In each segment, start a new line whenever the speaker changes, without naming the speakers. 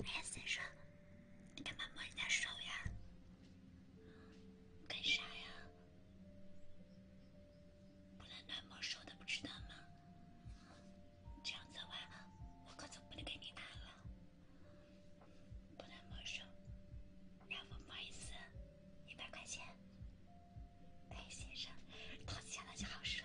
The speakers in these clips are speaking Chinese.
哎呀，先生，你干嘛摸你的手呀？
干啥呀？不能乱摸手的，不知道吗？这样做完，我可总不能给你拿了。不能摸手，要不摸一次，
一百块钱。哎，先生，掏钱了就好说。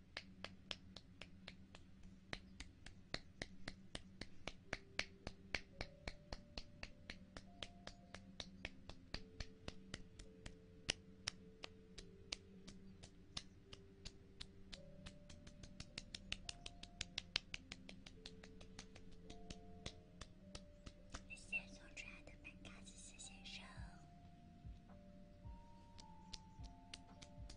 谢谢送出来的麦卡
斯，谢谢收。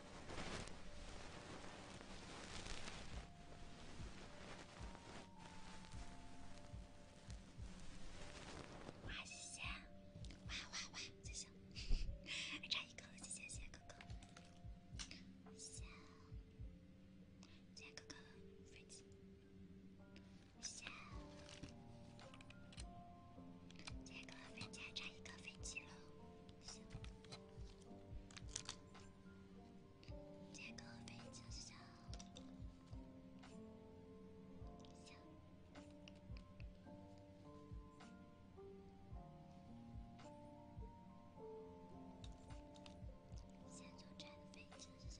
哇，谢谢！哇哇哇，谢谢！还差一个，谢谢谢谢哥哥，谢谢，谢哥哥飞机，谢，谢哥哥飞机还差一个飞机了，行。这个飞机小，先坐这飞机小。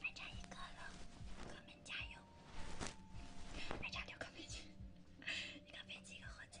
还差一个了，哥们加油！还差六个面具，一个面具一个火箭。